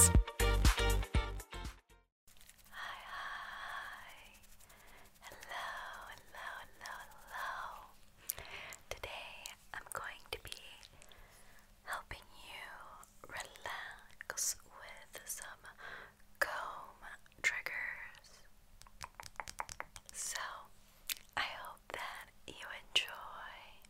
Hi, hi. Hello, hello, hello, Today I'm going to be helping you relax with some comb triggers. So I hope that you enjoy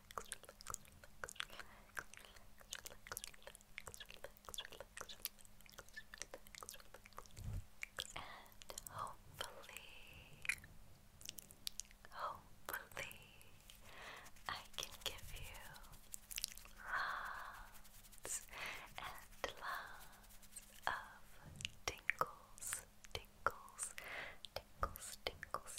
relax, and hopefully, hopefully, I can give you lots and lots of tingles, tingles, tingles, tingles,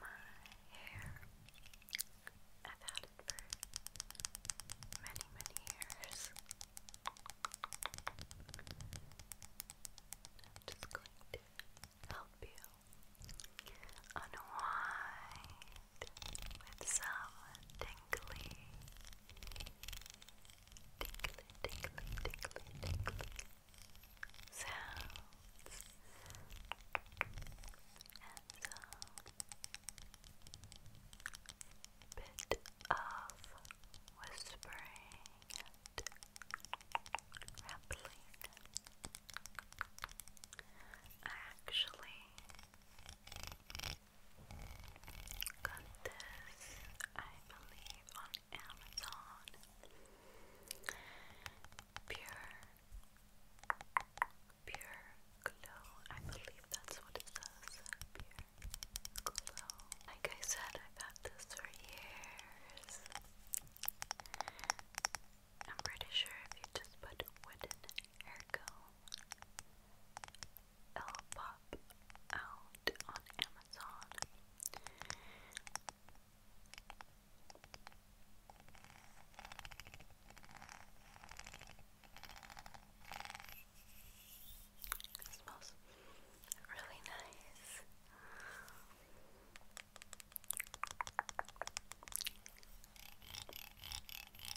my hair. I've had it for many, many years. I'm just going to help you unwind with some tingly, tingly, tingly, tingly, sounds and a bit of whispering and rappling. I actually got this, I believe, on Amazon. Pure Pure glow. I believe that's what it says. Pure glow. Like I said, I've had this for years. I'm pretty sure if you just put wooden hair comb, it'll pop out on Amazon. It smells really nice.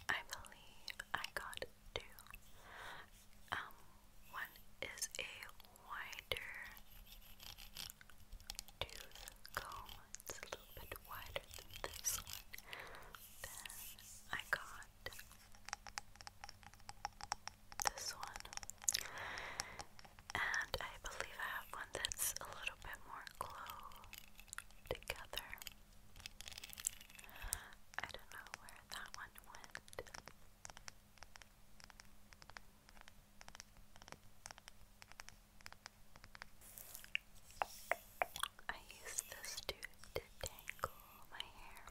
I believe I got two. Um, one is a wider tooth comb. It's a little bit wider than this one. Then I got this one. And I believe I have one that's a little bit more close together. I don't know where that one went. I use this to detangle my hair.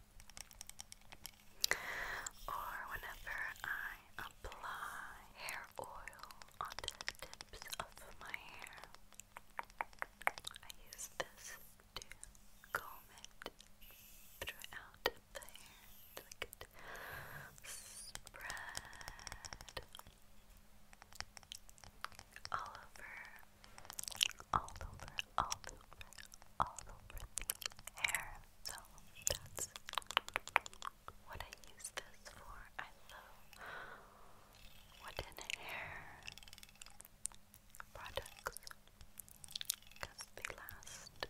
Or whenever I apply hair oil onto the tips of my hair, I use this to comb it throughout the hair so spread all over, all over, all over, all over the hair. So that's what I use this for. I love wooden hair products because they last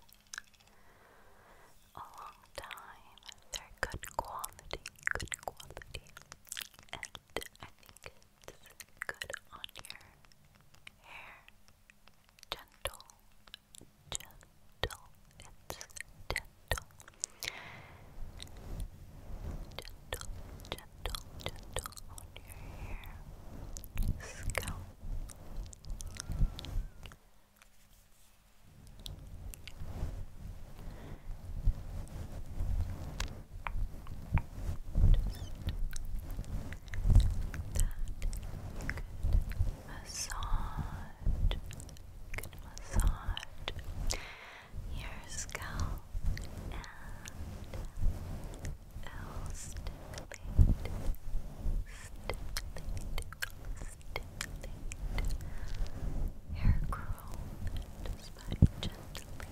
a long time. They're good quality good quality, and I think it's good on your hair. Gentle, gentle, it's gentle. Gentle, gentle, gentle on your hair. Scalp massage, good massage your scalp and it'll stimulate, stimulate, stimulate late hair curl just by gently, gently,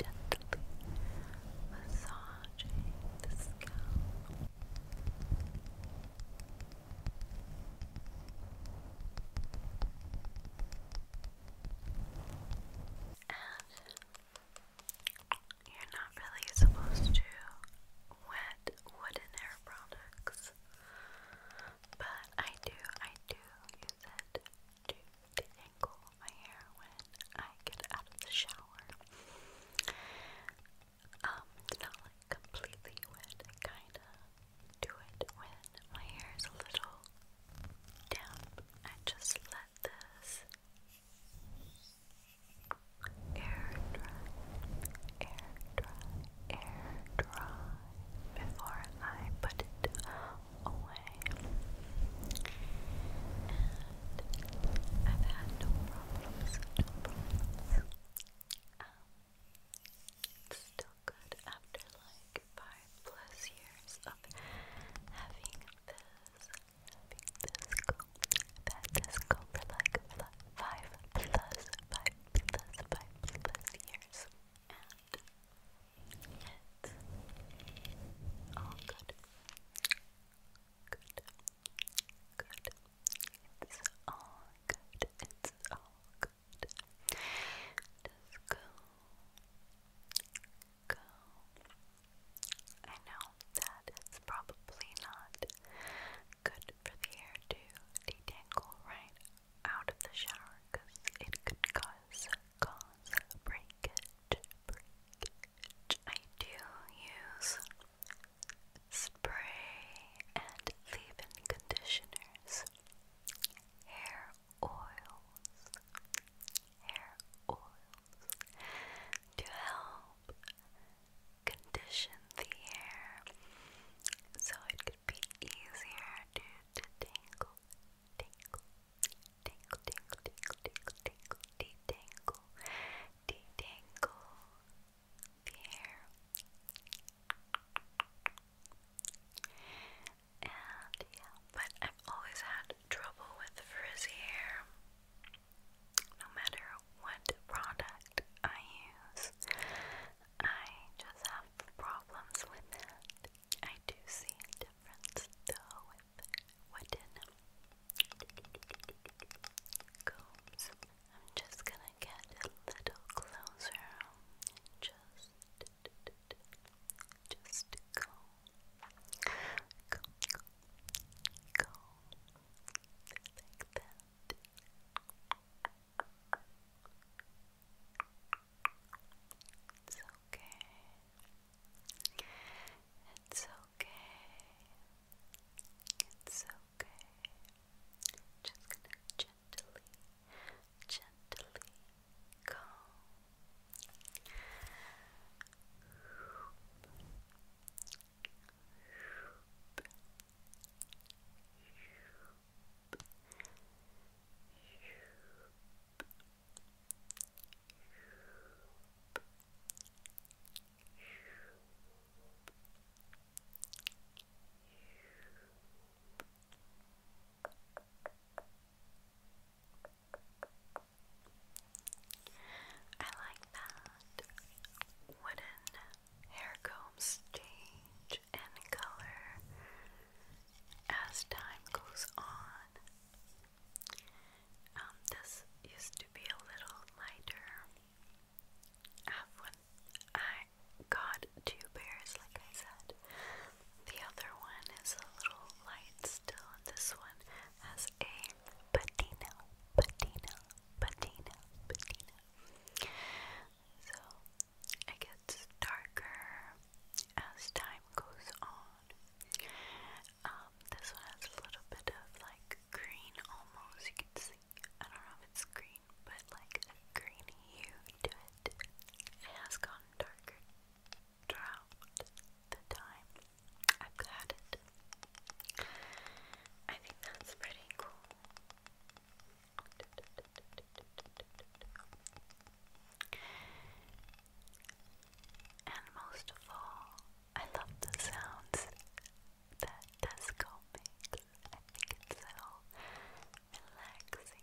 gently massaging the scalp. And you're not really supposed to wet wooden hair products this. But I do, I do use it to detangle my hair when I get out of the shower. Um, it's not like completely wet, I kinda do it when my hair is a little damp. I just let this air dry, air dry, air dry before I put it away. I've had no problems, no problems. still good after like five plus years of having this, having this go. i this go for like five plus, five plus, five plus years and it's all good. Good. Good. It's all good. It's all good. Just go. Go. I know that it's probably not good for the hair to detangle, right? out of the shower because it could cause cause breakage. I do use spray and leave-in conditioners, hair oils, hair oils to help condition the hair so it be easier to, to tangle, tangle, tangle, tangle, tangle, detangle, detangle the hair. And yeah, but I've always had trouble with frizzy hair. No matter what product I use, I just have problems with that. I do see a difference though with wooden combs. I'm just gonna get a little closer and just just go go go go it's okay. It's okay. It's okay. Just gonna gently, gently go. Hoop. Hoop. I like that wooden hair combs change in color as time goes on. Um, this used to be a little lighter. Uh, I got two pairs, like I said, the other one is a little light still, this one has a patina, patina, patina, patina. So it gets darker as time goes on. Um, this one has a little bit of like green almost. You can see, I don't know if it's green, but like a green hue to it. It has gone darker throughout the time I've had it. I think that's pretty cool. And most of all, I love the sounds that disco makes. I think it's so relaxing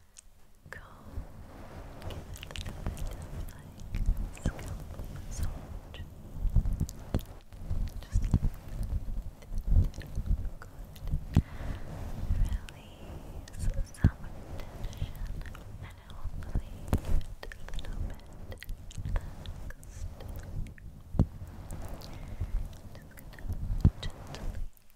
go give it a little bit of like scalp massage just like that good release some tension and hopefully a little bit relaxed just gonna gently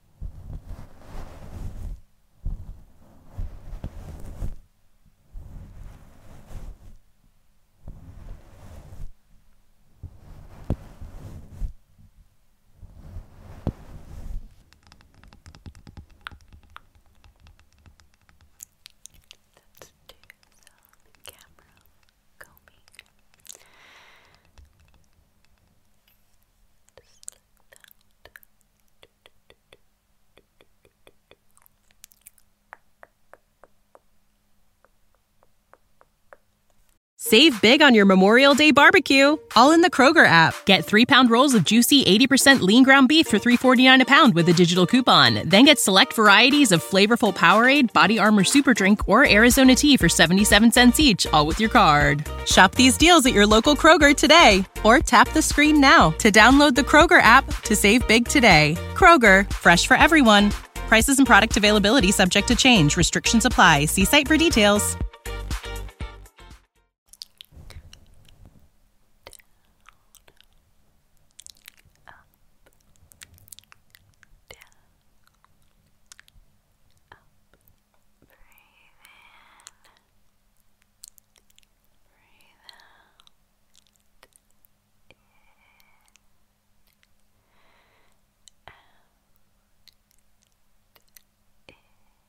Let's do some camera combing. Just Save big on your Memorial Day barbecue, all in the Kroger app. Get three pound rolls of juicy 80% lean ground beef for 3.49 a pound with a digital coupon. Then get select varieties of flavorful Powerade, Body Armor Super Drink, or Arizona tea for 77 cents each, all with your card. Shop these deals at your local Kroger today or tap the screen now to download the Kroger app to save big today. Kroger, fresh for everyone. Prices and product availability subject to change. Restrictions apply. See site for details. Breathe in. Breathe out. In. Out. In. Out.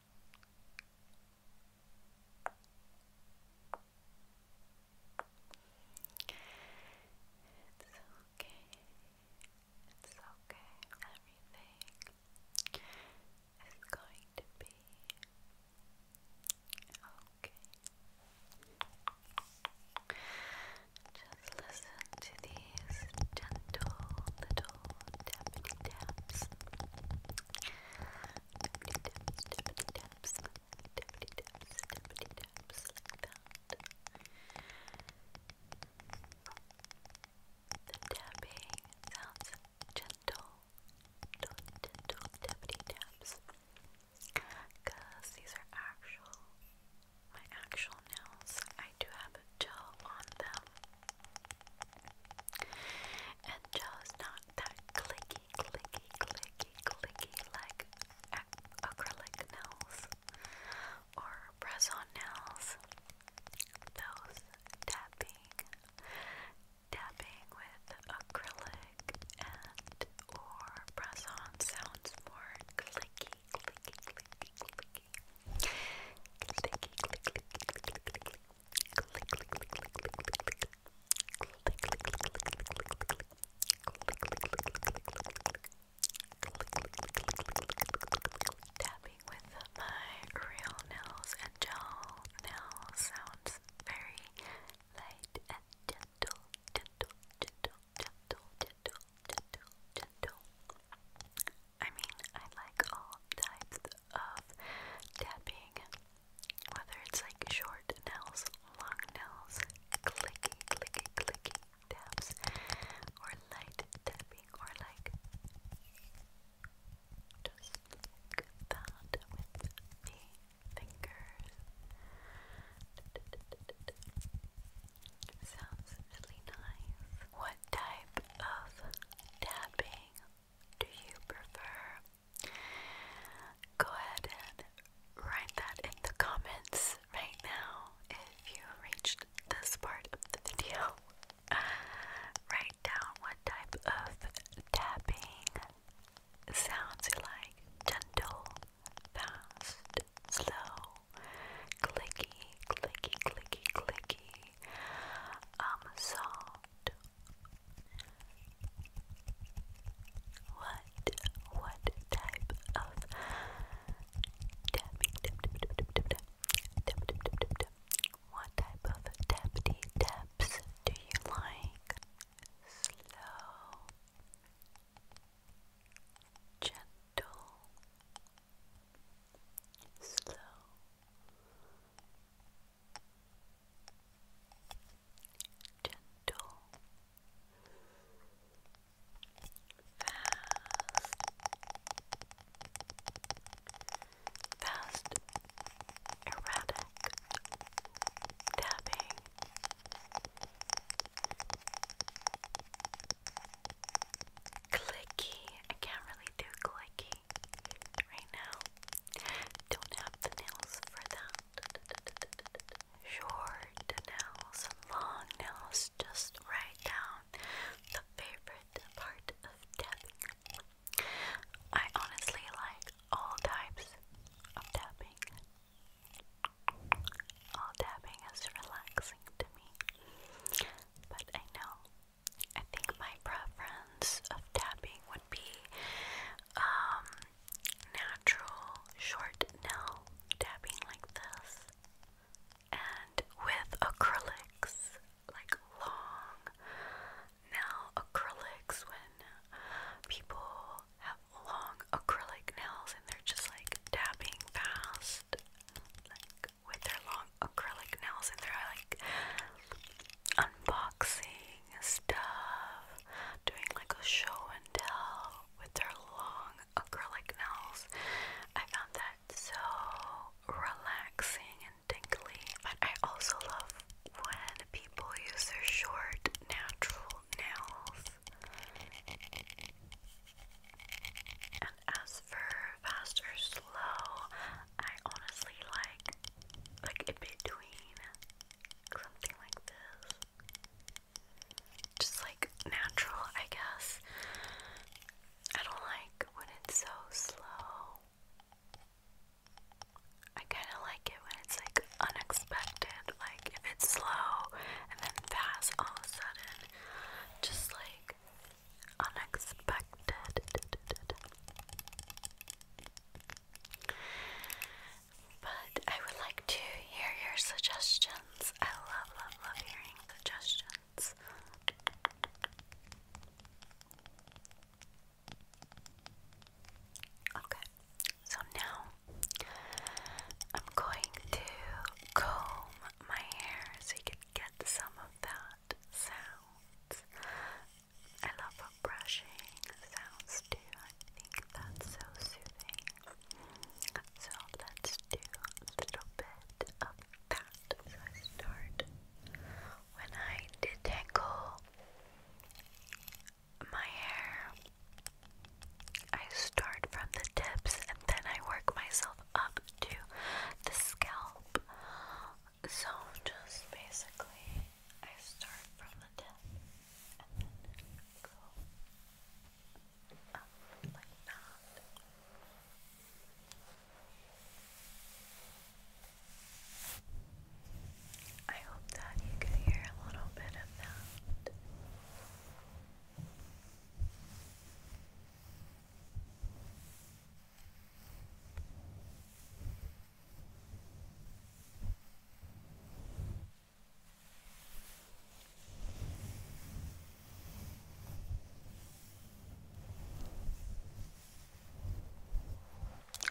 It's okay. It's okay. Everything is going to be okay. Just listen to the gentle little tappity taps. Tappity taps, tappity taps, tappity taps, tappity taps, like that. The tapping sounds gentle, little gentle tappity taps. Because these are actual, my actual nails. I do have gel on them. And gel not that clicky, clicky, clicky, clicky like acrylic nails or press on nails. Those tapping, tapping with acrylic and or press on sounds more clicky, clicky, clicky, clicky. Tapping with my real nails and gel nail sounds very light and gentle, gentle, gentle, gentle, gentle, gentle, gentle. I mean, I like all types of tapping, whether it's like short nails, long nails, clicky, clicky, clicky taps, or light tapping, or like just like that with the fingers. Sounds really nice. What type of tapping do you prefer? Go ahead and write that in the comments right now if you reached this part of the video. write down what type of tapping sounds you like gentle, fast, slow, clicky, clicky, clicky, clicky um, solved. What what type of tapping tap tap tap tap tap tap tap tap tap tap what type of tappity taps do you like? Slow gentle slow gentle, fast, fast, erratic, tapping. Clicky. I can't really do clicky right now. Don't have the nails for that. Short nails, long nails, just write down the favorite part of tapping. I honestly like all types of tapping. All tapping is relaxing to me, but I know I think my preference of tapping would be um, natural short nail tapping like this and with acrylics, like long nail acrylics when people have long acrylic nails and they're just like tapping fast. Like with their long acrylic nails and their are like unboxing stuff, doing like a show and tell with their long acrylic nails. I found that so relaxing and dinkly. But I also love when people use their short, natural nails. And as for fast or slow, I honestly like like in between something like this. Just like natural, I guess. I don't like when it's so slow. I kind of like it when it's like unexpected, like if it's slow and then fast all of a sudden. Just like unexpected. But I would like to hear your suggestions. I love, love, love hearing suggestions. Okay, so now I'm going to comb my hair so you can get some of that sound I love brushing sounds do. I think that's so soothing. So let's do a little bit of that. So I start when I detangle my hair. I start from the tips and then I work myself up to the scalp. So just basically, I start from the tip and then go up like that. I hope that you can hear a little bit of that.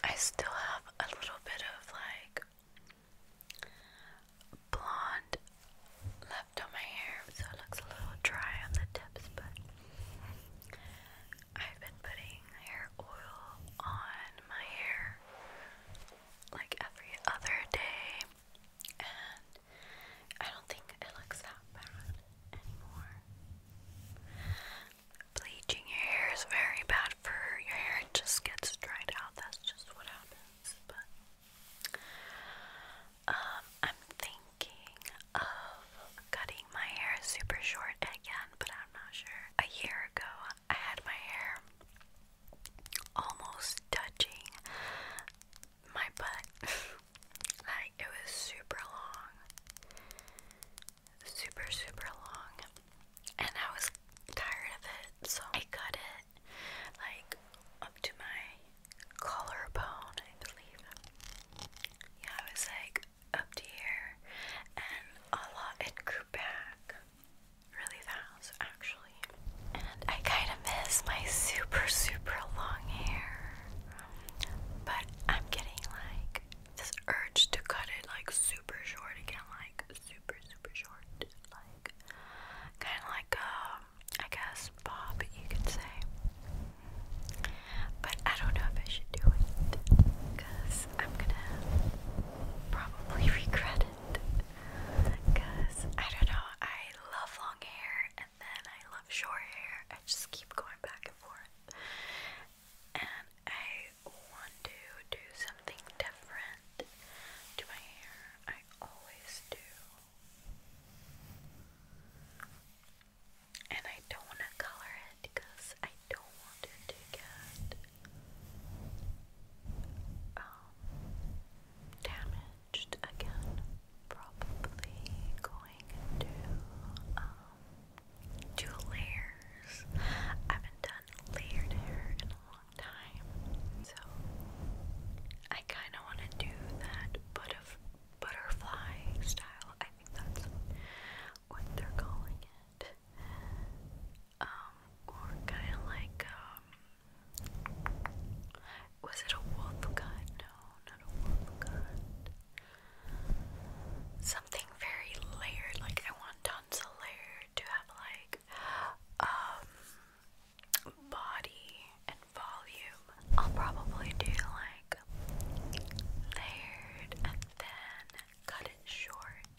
I still have a little bit of like blonde left on my hair, so it looks a little dry on the tips, but I've been putting hair oil on my hair like every other day, and I don't think it looks that bad anymore. Bleaching your hair is very bad for your hair, it just gets dried out. That's just what happens, but. Um, I'm thinking of cutting my hair super short again, but I'm not sure. A year ago, I had my hair almost touching my butt. like, it was super long. Super, super long. And I was tired of it, so I cut it like up to my collarbone, I believe. Yeah, I was like, up here and a it grew back really fast actually and I kind of miss my super super long hair but I'm getting like this urge to cut it like super short again like super super short like kind of like um I guess bob you could say but I don't know if I should do it because I'm gonna probably regret it. Because I don't know, I love long hair and then I love short hair. I just keep going back and forth. And I want to do something different to my hair. I always do. And I don't want to color it because I don't want it to get um, damaged again. Probably going into um, layers. I haven't done layered hair in a long time, so I kind of want to do that butterfly style. I think that's what they're calling it. Um, or kind of like, um, was it a wolf gut? No, not a wolf gut. Something very layered, like I want tons of layer to have like, um, body and volume. I'll probably do like layered and then cut it short.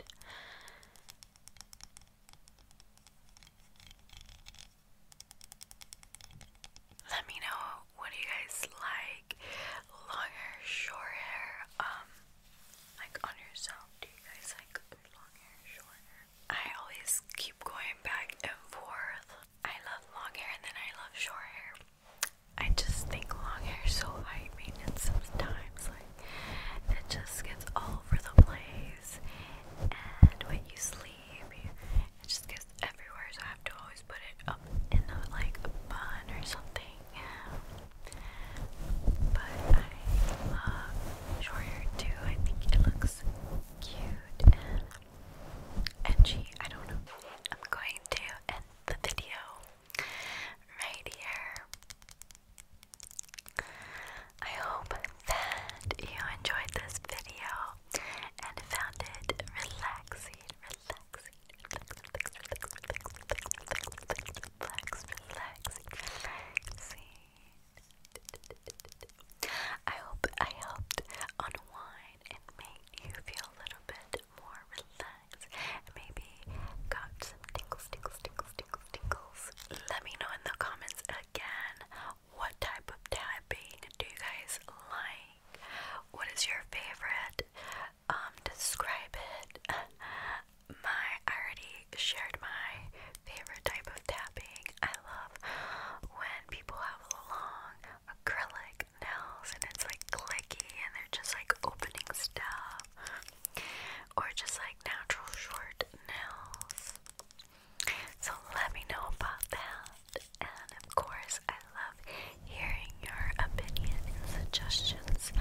Let me know what do you guys like. Long short hair, um, like on yourself. Do you guys like long hair, short hair? I always keep going back and forth. I love long hair and then I love short hair. I just think long hair is so high maintenance sometimes. Like it just gets all over the place, and when you sleep, you, it just gets everywhere. So I have to always put it up in like a bun or something. But I love short too. I think it looks cute and edgy. I don't know. I'm going to end the video right here. I hope that you enjoyed this video and found it relaxing, relaxing, relaxing, relaxing, relaxing, relaxing, I hope I helped unwind and make you feel a little bit more relaxed maybe got some tingles, tingles, tingles, tingles, tingles. Let me know in the comments again what type of tapping do you guys like? What is your favorite? Um, describe it. My I already shared my favorite type of tapping. I love when people have long acrylic nails and it's like and they're just like opening stuff, or just like natural short nails. So let me know about that. And of course, I love hearing your opinion and suggestions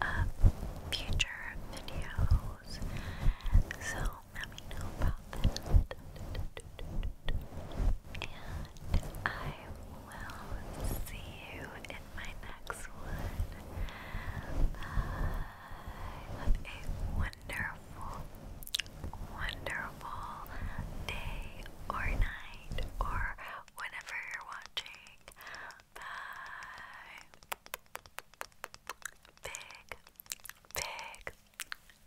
of future videos. So let me know about that. And I will see you in my next one. Have a wonderful, wonderful day or night or whenever you're watching. Bye. Big, big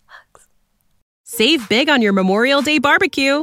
hugs. Save big on your Memorial Day barbecue